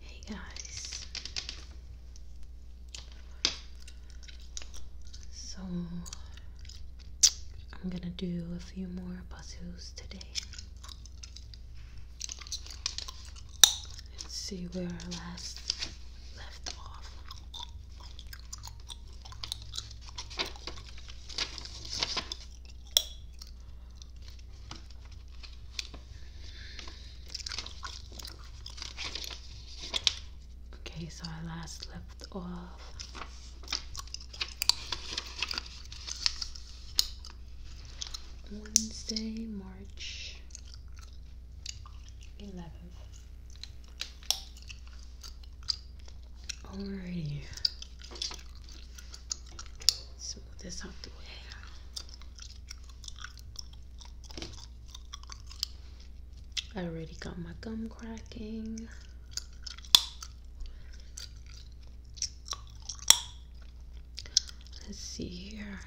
Hey guys, so I'm gonna do a few more puzzles today. Let's see where our last left off. Okay, so I last left off. Wednesday, March 11th. Alrighty. Smooth this out the way. I already got my gum cracking. Let's see here.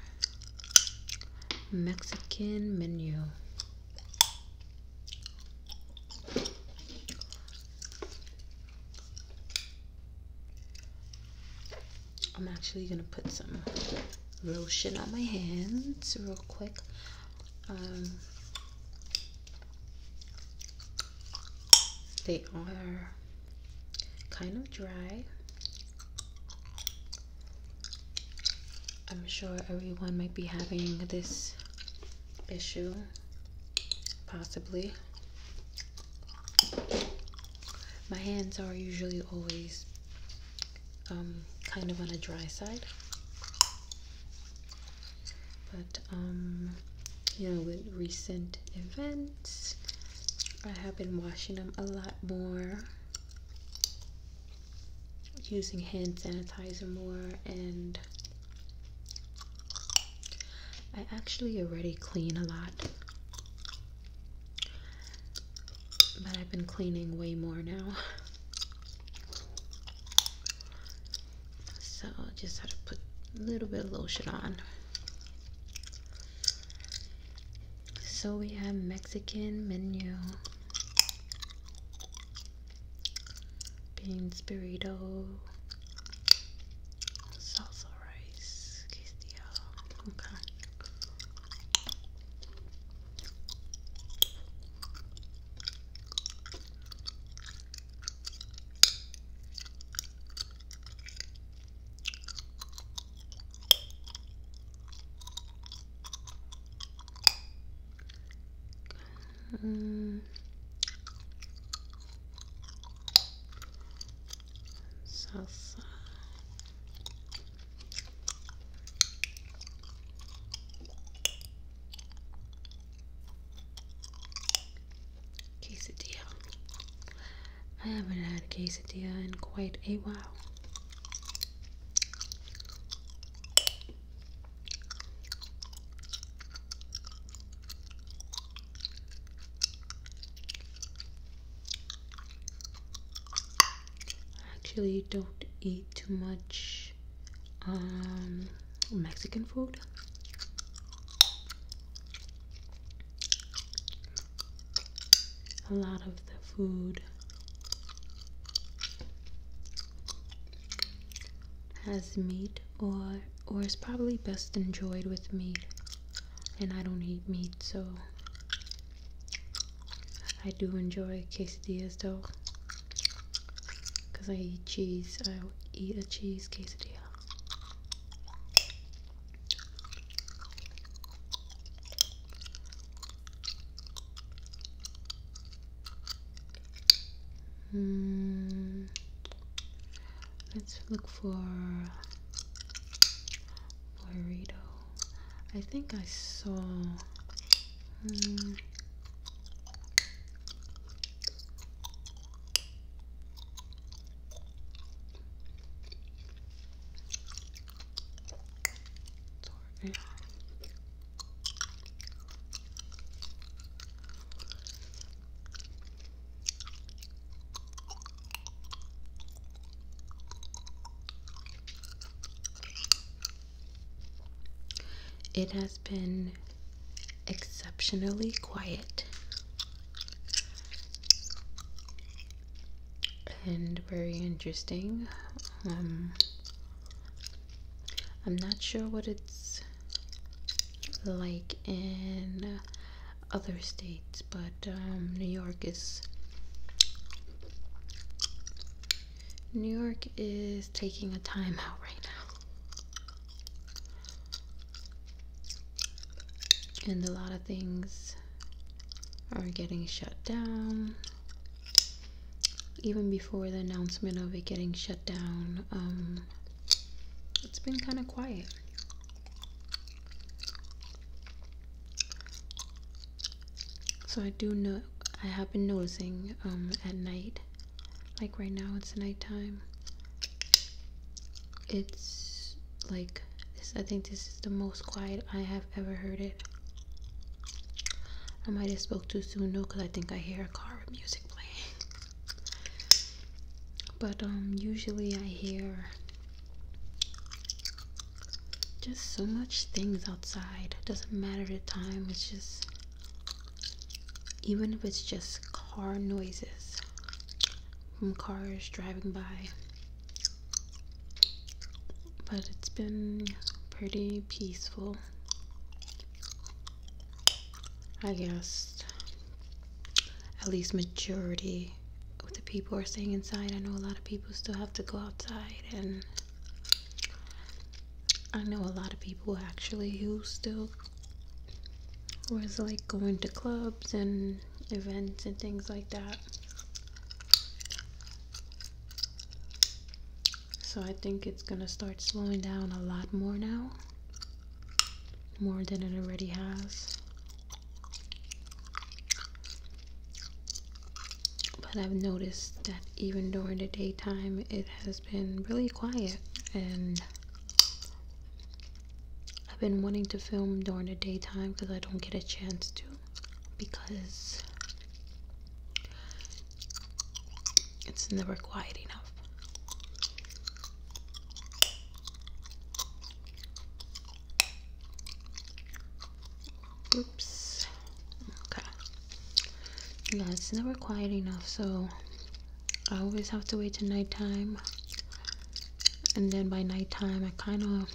Mexican menu. I'm actually gonna put some lotion on my hands real quick. Um, they are kind of dry. I'm sure everyone might be having this issue, possibly my hands are usually always um, kind of on a dry side but um, you know with recent events I have been washing them a lot more using hand sanitizer more and I actually already clean a lot, but I've been cleaning way more now. So I just have to put a little bit of lotion on. So we have Mexican menu. Beans burrito, salsa rice quesadilla. Okay. Um, salsa. Quesadilla. I haven't had quesadilla in quite a while actually don't eat too much um, Mexican food. A lot of the food has meat or or is probably best enjoyed with meat and I don't eat meat so I do enjoy quesadillas though because I eat cheese I eat a cheese quesadilla Hmm. let's look for Burrito. I think I saw. Hmm. It has been exceptionally quiet and very interesting. Um, I'm not sure what it's like in other states, but um, New York is New York is taking a time out right now. And a lot of things are getting shut down. Even before the announcement of it getting shut down, um, it's been kind of quiet. So I do know I have been noticing um, at night, like right now it's nighttime. It's like this. I think this is the most quiet I have ever heard it. I might have spoke too soon though, cause I think I hear a car with music playing. But um, usually I hear just so much things outside. Doesn't matter the time, it's just even if it's just car noises from cars driving by. But it's been pretty peaceful I guess at least majority of the people are staying inside. I know a lot of people still have to go outside and I know a lot of people actually who still was like going to clubs and events and things like that. So I think it's gonna start slowing down a lot more now more than it already has. But I've noticed that even during the daytime, it has been really quiet and I've been wanting to film during the daytime because I don't get a chance to because it's never quiet enough. Oops. Okay. Yeah, it's never quiet enough, so I always have to wait till nighttime. And then by nighttime, I kind of.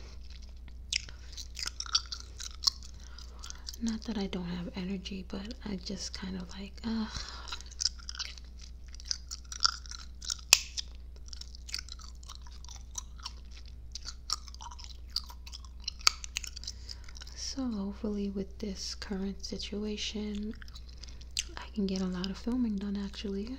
Not that I don't have energy, but I just kind of like so hopefully with this current situation, I can get a lot of filming done actually.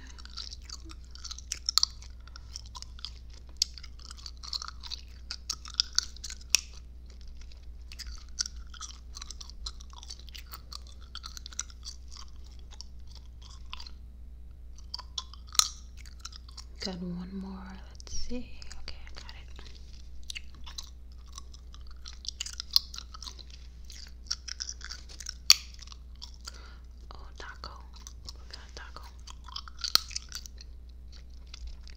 Got one more. Let's see. Okay, I got it. Oh, taco. We got taco.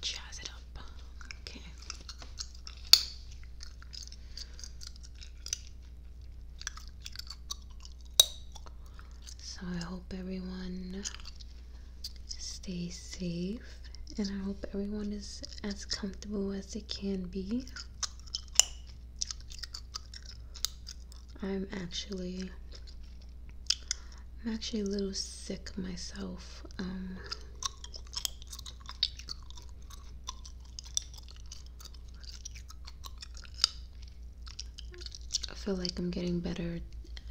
Jazz it up. Okay. So I hope everyone stays safe and I hope everyone is as comfortable as they can be. I'm actually I'm actually a little sick myself. Um. I feel like I'm getting better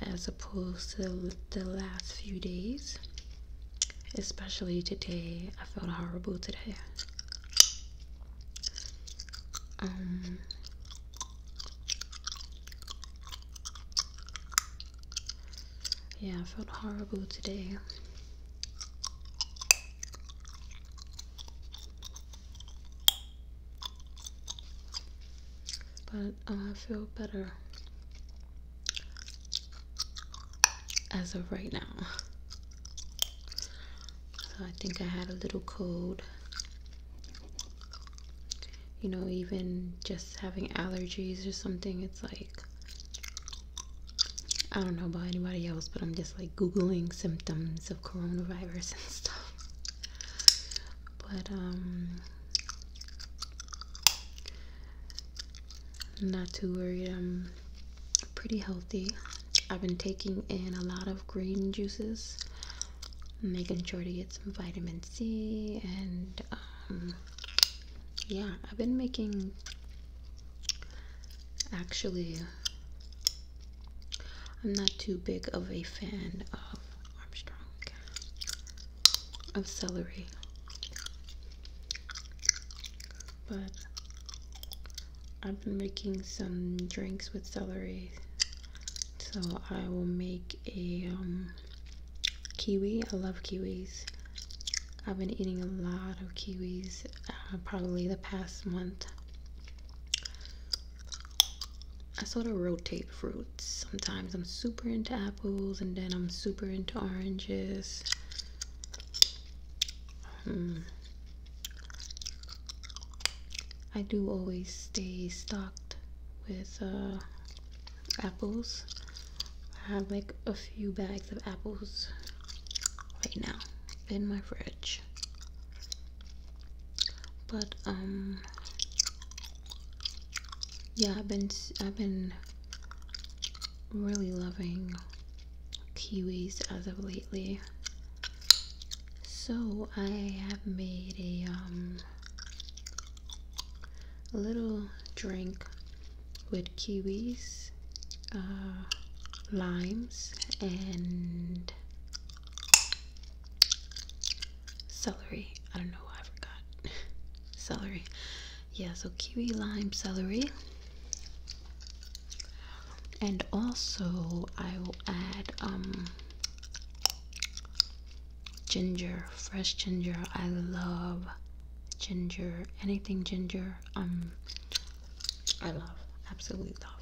as opposed to the last few days. Especially today. I felt horrible today. Um yeah, I felt horrible today. But uh, I feel better as of right now. So I think I had a little cold you know, even just having allergies or something, it's like I don't know about anybody else, but I'm just like googling symptoms of coronavirus and stuff. But um not too worried. I'm pretty healthy. I've been taking in a lot of green juices making sure to get some vitamin C and um, yeah, I've been making actually I'm not too big of a fan of Armstrong of celery but I've been making some drinks with celery so I will make a um, kiwi I love kiwis I've been eating a lot of kiwis uh, probably the past month I sort of rotate fruits sometimes I'm super into apples and then I'm super into oranges hmm. I do always stay stocked with uh, apples. I have like a few bags of apples right now in my fridge. But um yeah, I've been I've been really loving kiwis as of lately. So I have made a um a little drink with kiwis, uh, limes, and celery. I don't know, I forgot. celery. Yeah, so kiwi, lime, celery. And also, I will add um, ginger, fresh ginger. I love ginger. Anything ginger, um, I love, absolutely love.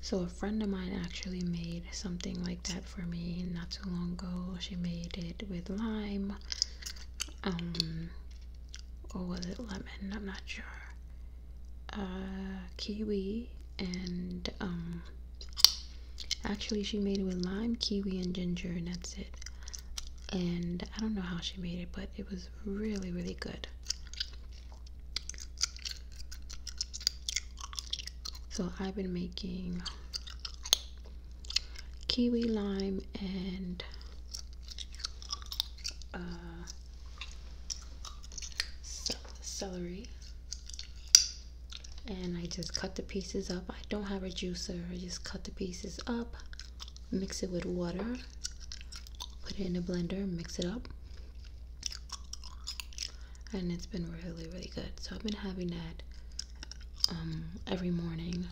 So a friend of mine actually made something like that for me not too long ago. She made it with lime, um, or was it lemon? I'm not sure. Uh, kiwi and um, actually she made it with lime, kiwi, and ginger, and that's it. And I don't know how she made it, but it was really, really good. So I've been making kiwi, lime, and uh, celery and I just cut the pieces up. I don't have a juicer, I just cut the pieces up, mix it with water, put it in a blender, mix it up, and it's been really, really good. So I've been having that um, every morning.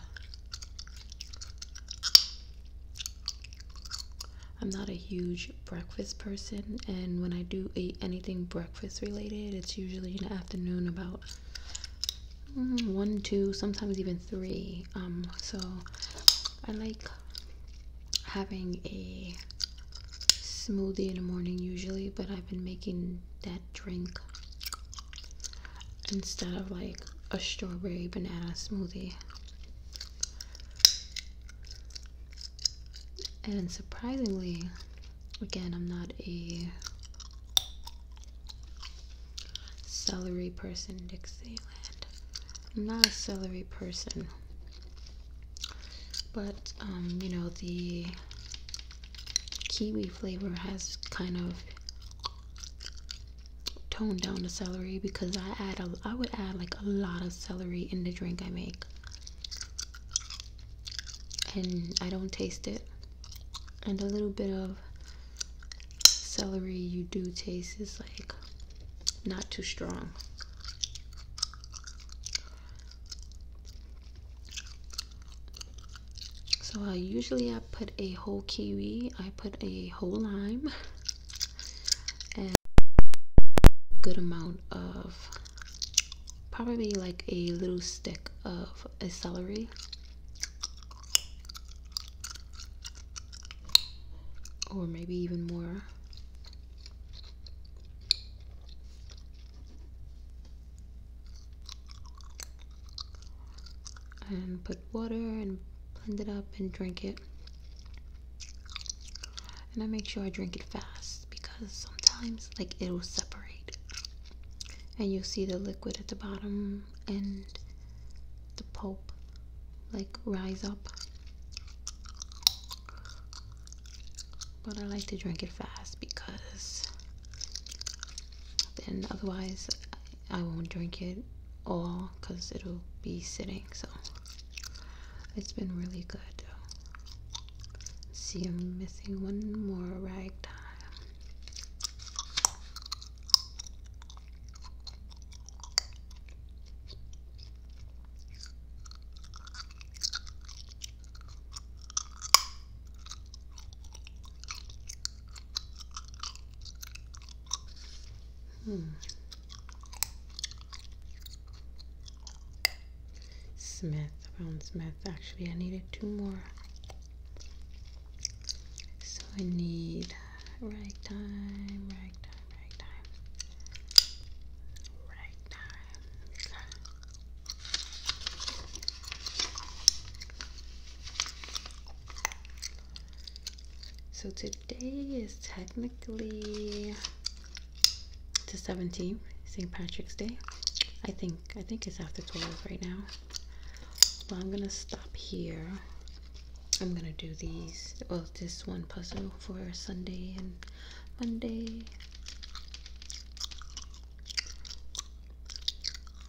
I'm not a huge breakfast person, and when I do eat anything breakfast related, it's usually in the afternoon about mm, one, two, sometimes even three. Um, so I like having a smoothie in the morning usually, but I've been making that drink instead of like a strawberry banana smoothie. And surprisingly, again, I'm not a celery person, Dixieland. I'm not a celery person. But, um, you know, the kiwi flavor has kind of tone down the celery because I add a, I would add like a lot of celery in the drink I make and I don't taste it and a little bit of celery you do taste is like not too strong so I usually I put a whole kiwi I put a whole lime and good amount of probably like a little stick of a celery or maybe even more and put water and blend it up and drink it. And I make sure I drink it fast because sometimes like it'll separate. And you'll see the liquid at the bottom and the pulp like rise up. But I like to drink it fast because then otherwise I won't drink it all because it'll be sitting. So it's been really good. let see, I'm missing one more ragtime. Hmm. Smith, Brown Smith. Actually, I needed two more. So I need ragtime, ragtime, ragtime, ragtime. So today is technically the 17th, St. Patrick's Day. I think I think it's after 12 right now. But I'm gonna stop here. I'm gonna do these well this one puzzle for Sunday and Monday.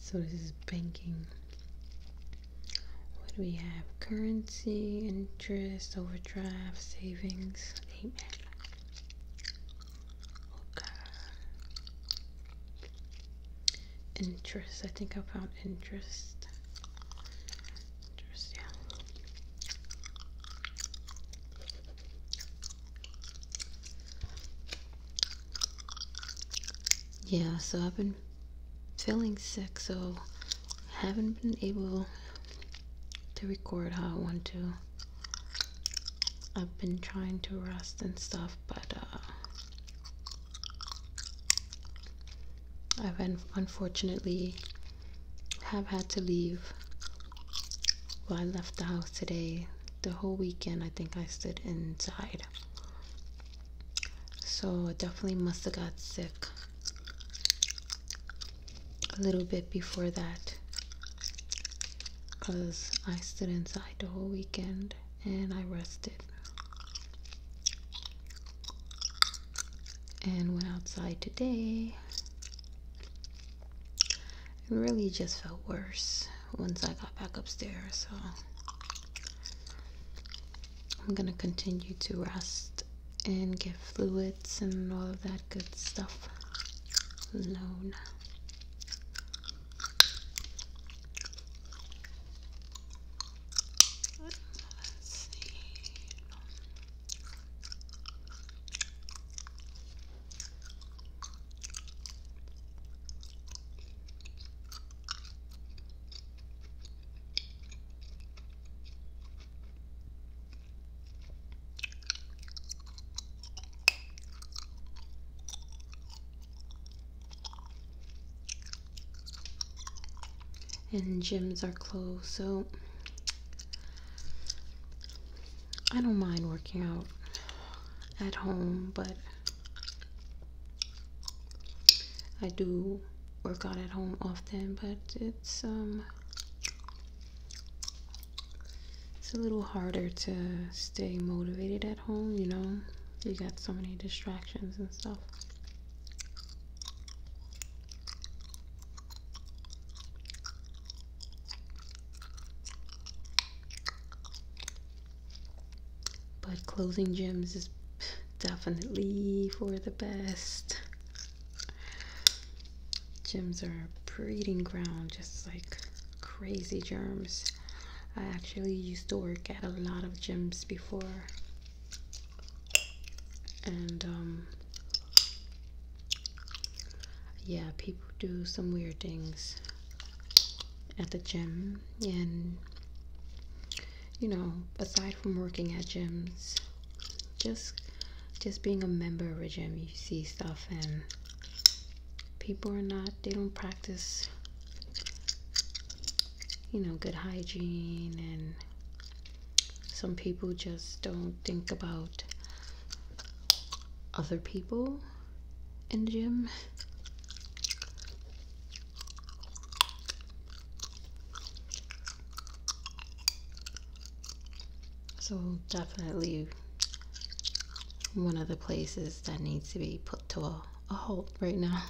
So this is banking. What do we have? Currency, interest, overdraft, savings. Amen. Okay. Interest. I think I found interest. Interest, yeah yeah so I've been feeling sick so I haven't been able to record how I want to I've been trying to rest and stuff but uh, I've unfortunately have had to leave well I left the house today the whole weekend I think I stood inside. So I definitely must have got sick a little bit before that because I stood inside the whole weekend and I rested. And went outside today it really just felt worse once I got back upstairs. So I'm gonna continue to rest and get fluids and all of that good stuff alone and gyms are closed so I don't mind working out at home, but I do work out at home often, but it's um it's a little harder to stay motivated at home, you know. You got so many distractions and stuff. But closing gyms is definitely for the best. Gyms are a breeding ground, just like crazy germs. I actually used to work at a lot of gyms before. And, um, yeah, people do some weird things at the gym and you know aside from working at gyms just just being a member of a gym you see stuff and people are not they don't practice you know good hygiene and some people just don't think about other people in gym. So definitely one of the places that needs to be put to a, a halt right now.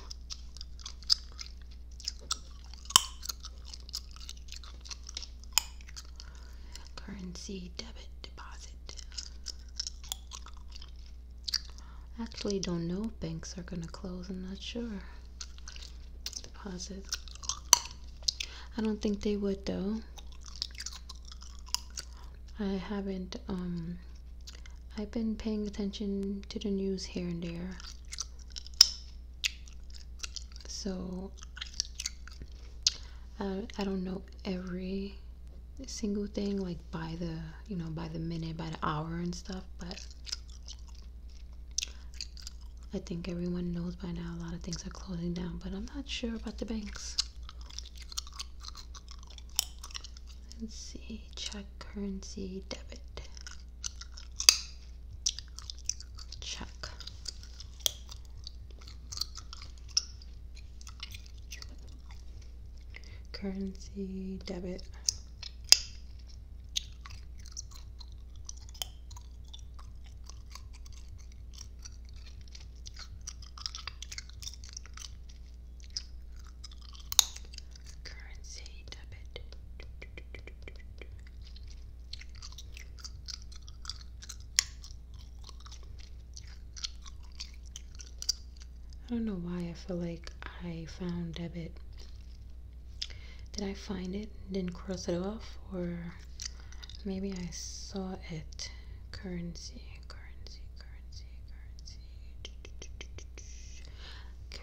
Currency debit. Actually, don't know if banks are gonna close. I'm not sure. Deposit. I don't think they would though. I haven't. Um, I've been paying attention to the news here and there. So I, I don't know every single thing like by the you know by the minute by the hour and stuff but i think everyone knows by now a lot of things are closing down but i'm not sure about the banks let's see check currency debit check currency debit currency debit I don't know why I feel like I found debit. Did I find it? Didn't cross it off? Or maybe I saw it. Currency, currency,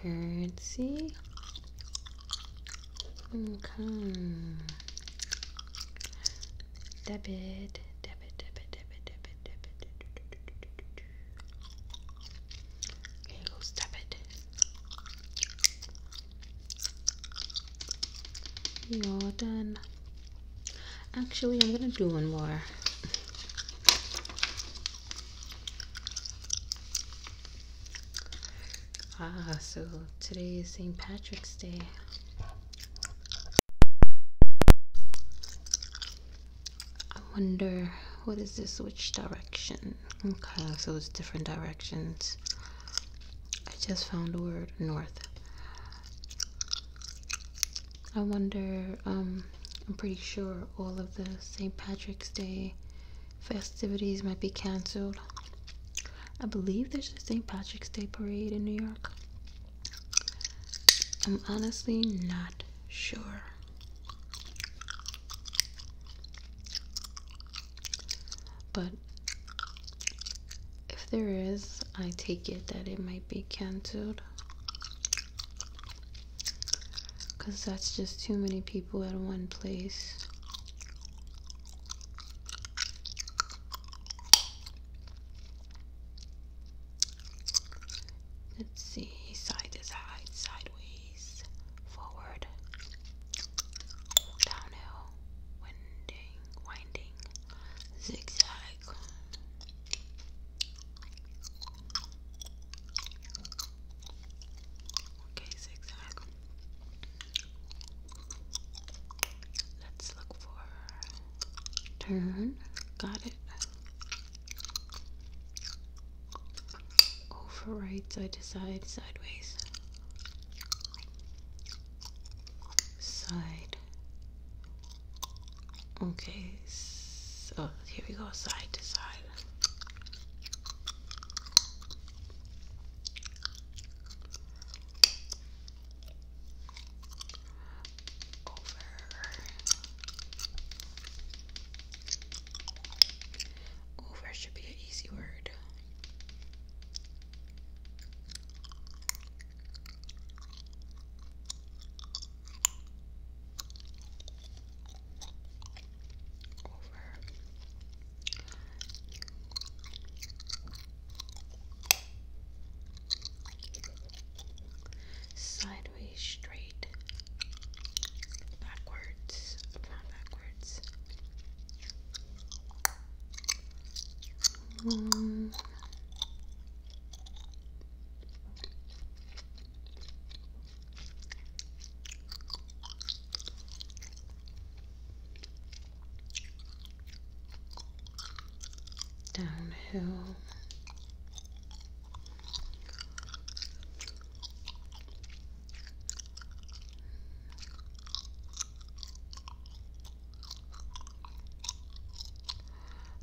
currency, currency. Currency. Hmm, okay debit, debit, debit, debit, debit, debit. Here goes debit. You're done. Actually, I'm gonna do one more. Ah, so today is St. Patrick's Day. I wonder what is this which direction okay so it's different directions I just found the word north I wonder um I'm pretty sure all of the St. Patrick's Day festivities might be canceled I believe there's a St. Patrick's Day parade in New York. I'm honestly not sure. But if there is, I take it that it might be canceled. Because that's just too many people at one place. Let's see, side to side, sideways, forward, downhill, winding, winding, zigzag. Okay, zigzag. Let's look for turn. Got it. Over right side to side, sideways. Side. Okay. So oh, here we go, side to side over should be an easy word over sideways, straight, backwards, not backwards downhill.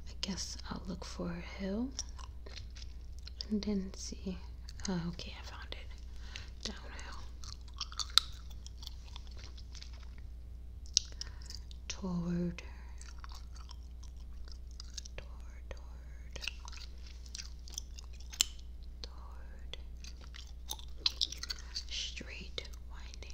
I guess I'll look for a hill and then see. Oh, okay, I found it. Downhill toward toward toward toward straight winding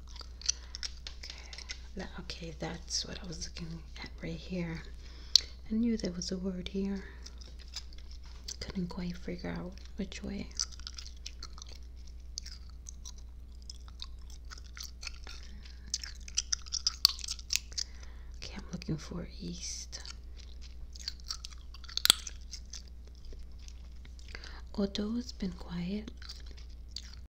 Okay, okay, that's what I was looking at right here. I knew there was a word here. Couldn't quite figure out which way. Okay, I'm looking for east. Although it's been quiet,